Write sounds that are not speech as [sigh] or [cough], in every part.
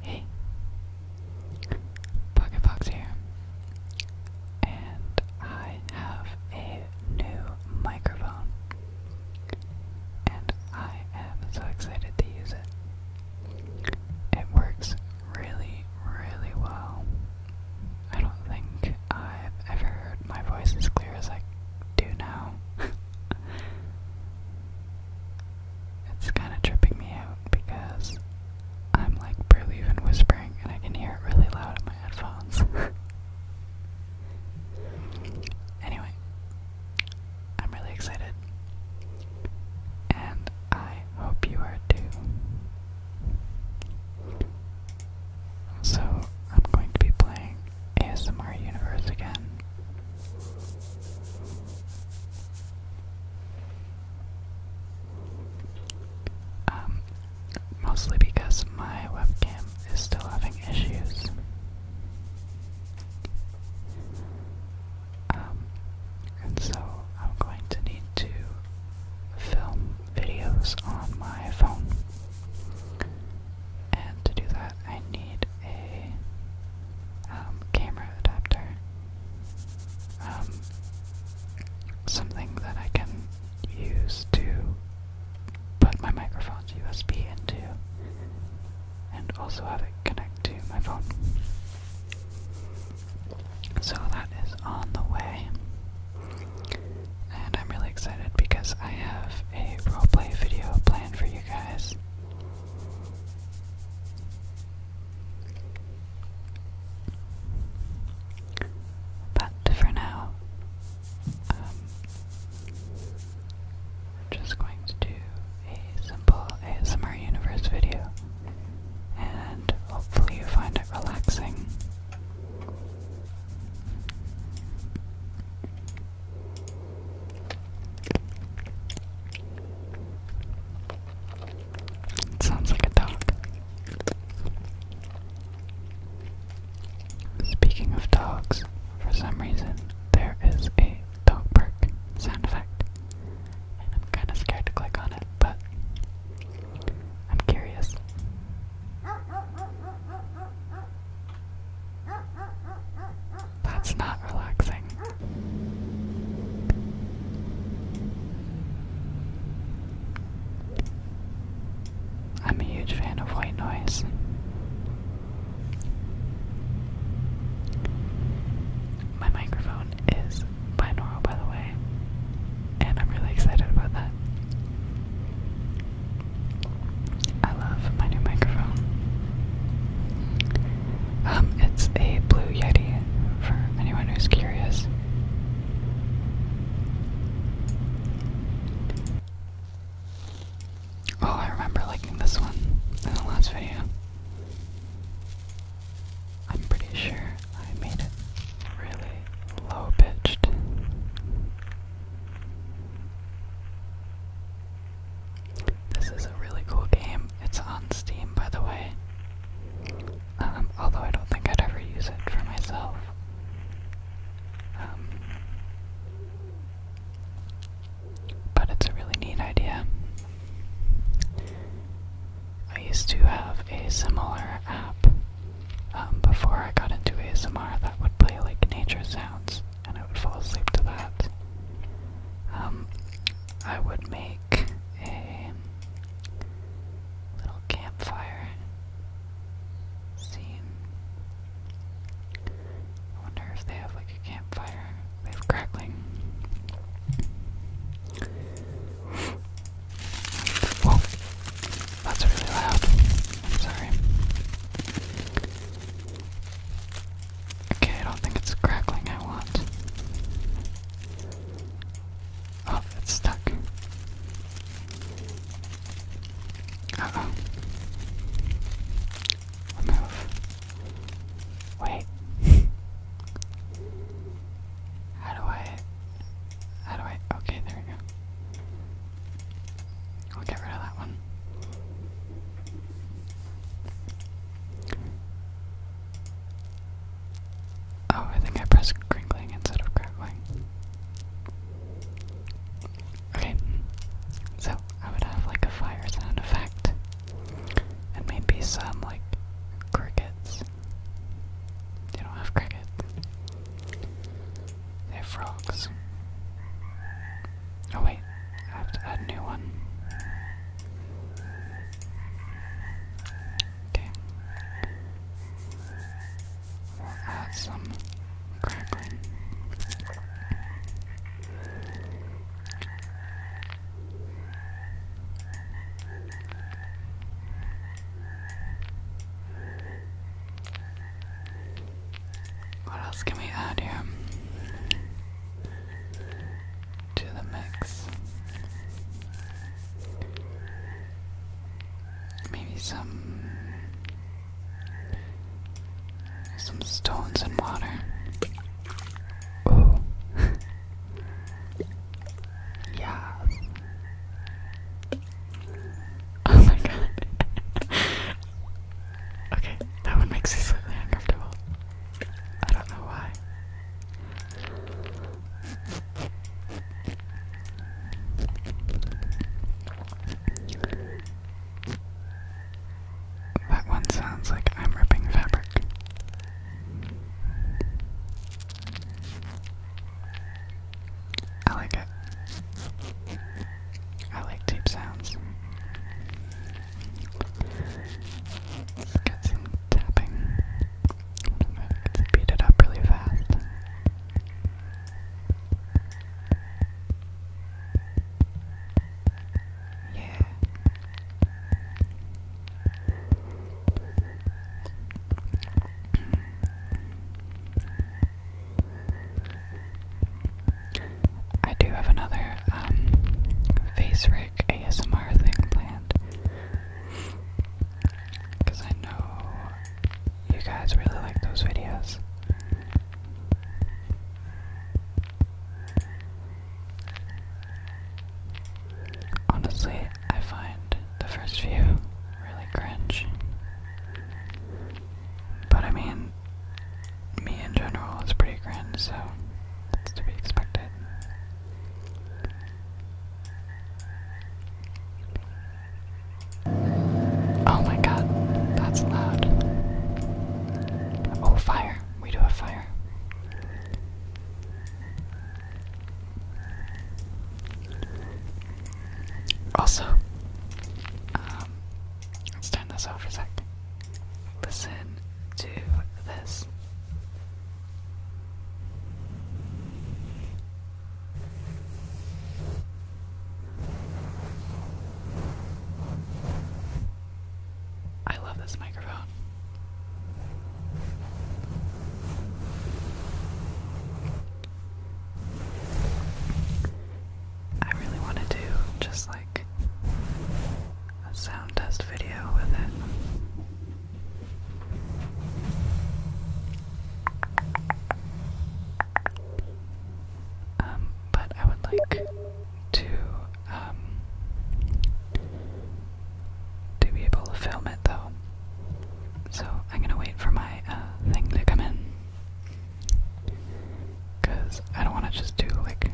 Hey, Pocket Fox here, and I have a new microphone, and I am so excited to use it. It works really, really well. I don't think I've ever heard my voice as clear as I do now. [laughs] It's kind of tripping me out because I'm like barely even whispering and I can hear it really loud in my headphones. [laughs] anyway, I'm really excited. And I hope you are too. So, I'm going to be playing ASMR universe again. Um, mostly because my webcam is still having issues. Um, and so I'm going to need to film videos on my phone. And to do that, I need a um, camera adapter. Um, something that I can use to put my microphone's USB into and also have it connect to my phone. So that is on the way. And I'm really excited because I have a roleplay video planned for you guys. But for now, I'm um, just going to do a simple ASMR Universe video, and hopefully, you find it relaxing sounds like a dog. Speaking of dogs, for some reason there is a dog park sound effect, and I'm kind of scared to click on it, but I'm curious. That's not relaxing. I'm a huge fan of white noise. My microphone is binaural, by the way, and I'm really excited about that. I love my new microphone. Um, it's a Blue Yeti for anyone who's curious. Oh, I remember liking this one in the last video. I'm pretty sure I made it really low pitched. This is a really cool game. It's on Steam, by the way. Um, although I don't think I'd ever use it for myself. Um, but it's a really neat idea. I used to have a similar app um, before I got into ASMR that would play like nature sounds and I would fall asleep to that. Um, I would make a little campfire scene. I wonder if they have like a campfire. They have crackling. Whoa, that's really loud. sorry. Okay, I don't think it's crackling I want. Oh, it's stuck. oh. Remove. Wait. how do I. How do I. Okay, there we go. I'll get rid of that one. Oh, I think I pressed crinkling instead of crackling. Okay, so I would have like a fire sound effect, and maybe some like crickets. They don't have crickets. They have frogs. Oh wait, I have to add a new one. Okay. We'll add some crackling. What else can we add here to the mix? Maybe some some stones and water. Oh, [laughs] yeah. Oh my god. [laughs] Okay, that one makes me slightly uncomfortable. I don't know why. That one sounds like I'm ripping fabric. I like it. I like deep sounds. Let's get some tapping. Let's beat it up really fast. Yeah. I do have another um, face rig ASMR thing planned. Because I know you guys really like those videos. Honestly, I find the first few really cringe. But I mean, me in general is pretty grand, so that's to be expected. Oh my god, that's loud. Oh, fire. We do have fire. Also, um, let's turn this off for a sec. Listen to this. I love this microphone. I really want to do just like a sound test video with it. Um, but I would like to um, to be able to film it though. So I'm gonna wait for my uh, thing to come in. Because I don't want to just do like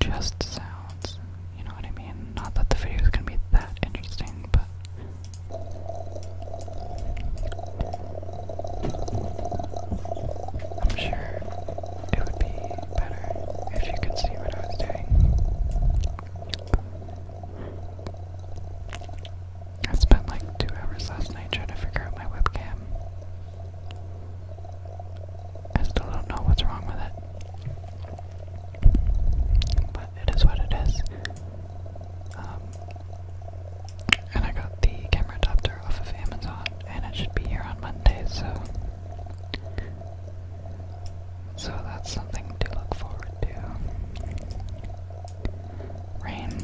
just sounds. You know what I mean? Not that the video is going to be that interesting, but. I'm sure it would be better if you could see what I was doing. I spent like two hours last night trying to figure out my webcam. I still don't know what's wrong with it. But it is what it is. Um, and I got the camera adapter off of Amazon, and it should be here on Monday, so. So that's something to look forward to. Rain.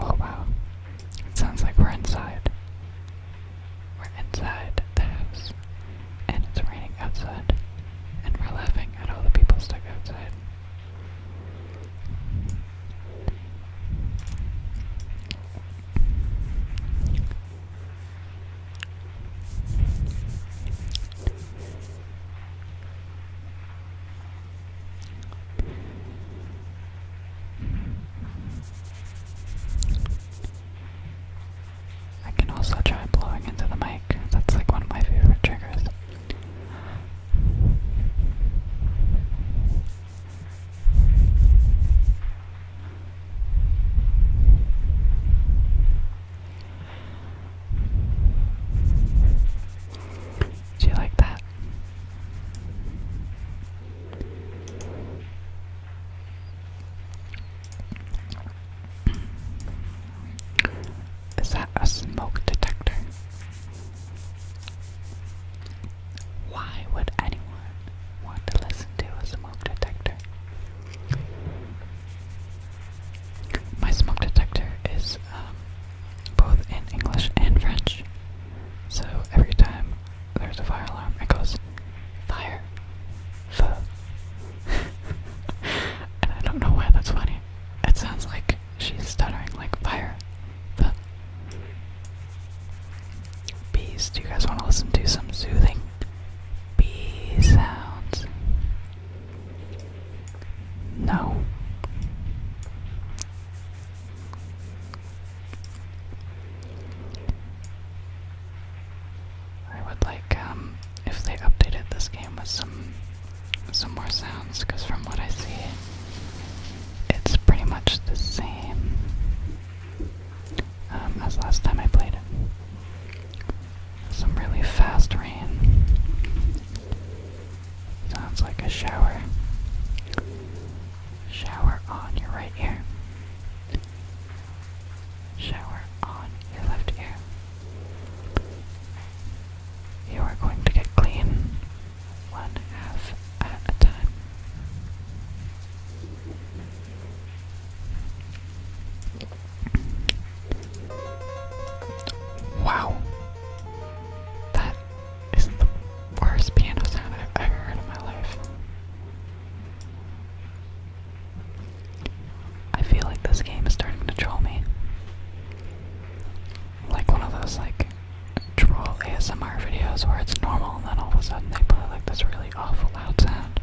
Oh wow. It sounds like we're inside. We're inside the house. And it's raining outside. And we're laughing at all the people stuck outside. I can also try blowing into the mic. That's like one of my favorite triggers. Do you like that? Is that a smoke detector? Why would anyone one to listen to a smoke detector. My smoke detector is um, both in English and French, so every time there's a fire alarm, it goes fire, feu. [laughs] and I don't know why that's funny. It sounds like she's stuttering, like fire, feu. Bees. Do you guys want to listen to some soothing bee sounds? No. I would like um if they updated this game with some some more sounds because from what I see it's pretty much the same um, as last time I played it. Some really fast rain. Sounds like a shower. Shower on your right ear. Shower on your left ear. You are going to get clean one half at a time. Wow. That is the worst piano sound I've ever heard in my life. I feel like this game is starting to troll me. Like one of those like troll ASMR videos where it's normal and then all of a sudden they play like this really awful loud sound.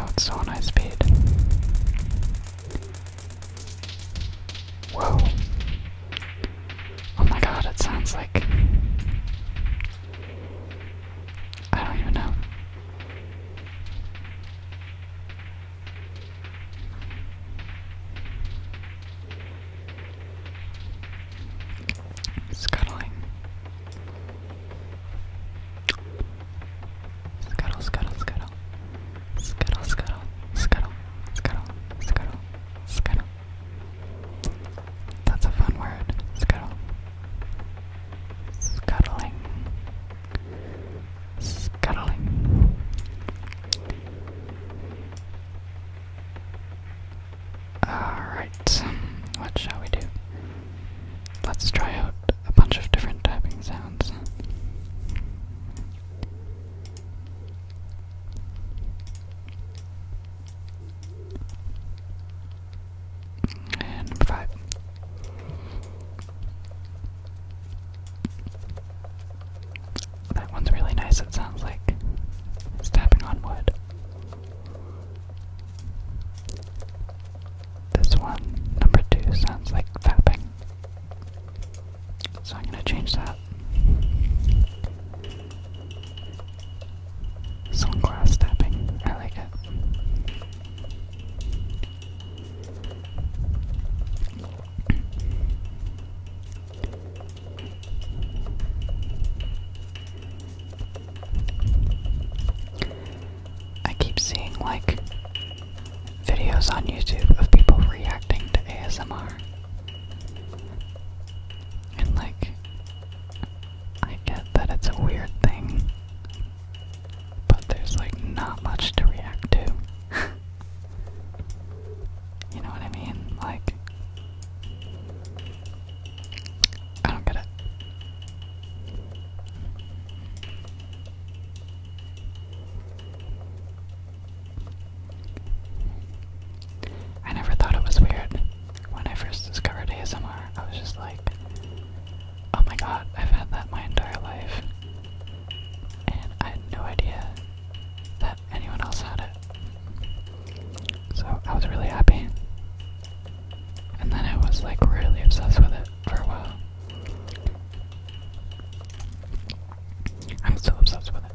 Oh, it's so high speed. Whoa. Oh my god, it sounds like. I don't even know. Scuttling. Scuttle, scuttle, scuttle. Scuttle, scuttle, scuttle, scuttle, scuttle, scuttle. That's a fun word. Scuttle. Scuttling. Scuttling. Alright, what shall we do? Let's try out a bunch of different typing sounds. And number five. That one's really nice, it sounds like it's tapping on wood. This one, number two, sounds like tapping. So I'm gonna change that. Sunglass tapping. I like it. I keep seeing like videos on YouTube of people reacting to ASMR. And, like, I get that it's a weird thing, but there's, like, not much to react to. [laughs] you know what I mean? Like, I don't get it. I never thought it was weird. When I first discovered ASMR, I was just like, oh my god, I've had that my entire life. And I had no idea that anyone else had it. So I was really happy. And then I was like really obsessed with it for a while. I'm so obsessed with it.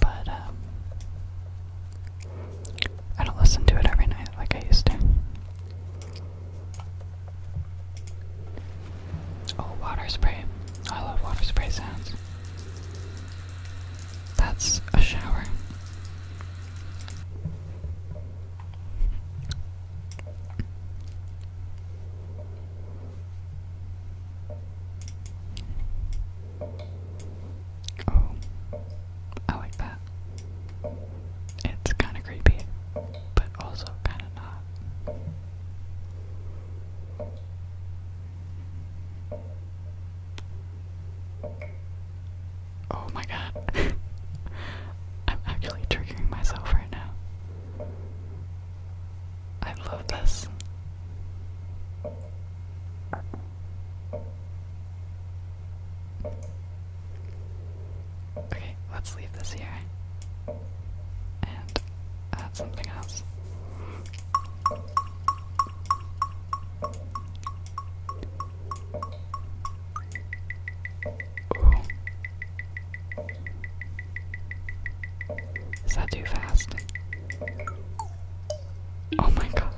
But, um, I don't listen to it every night like I used to. Oh, water spray. I love water spray sounds. That's a shower. Oh, I like that. It's kind of creepy, but also kind of not. Oh my god. [laughs] I'm actually triggering myself right now. I love this. Okay, let's leave this here. And add something else. Is that too fast? Oh my god.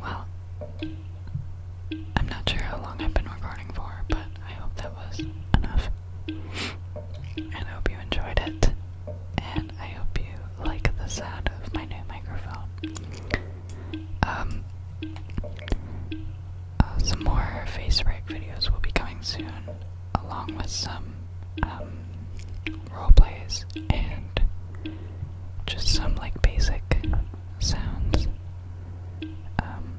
well, I'm not sure how long I've been recording for, but I hope that was enough. And I hope you enjoyed it. And I hope you like the sound of my new microphone. Um, uh, some more face break videos will be coming soon, along with some um, role plays and just some like basic sounds. Because um,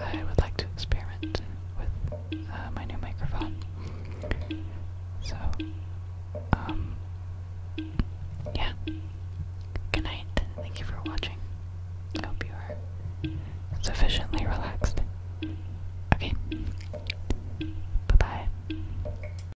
I would like to experiment with uh, my new microphone. So, um, yeah. Good night. Thank you for watching. I hope you are sufficiently relaxed. Okay. Bye bye.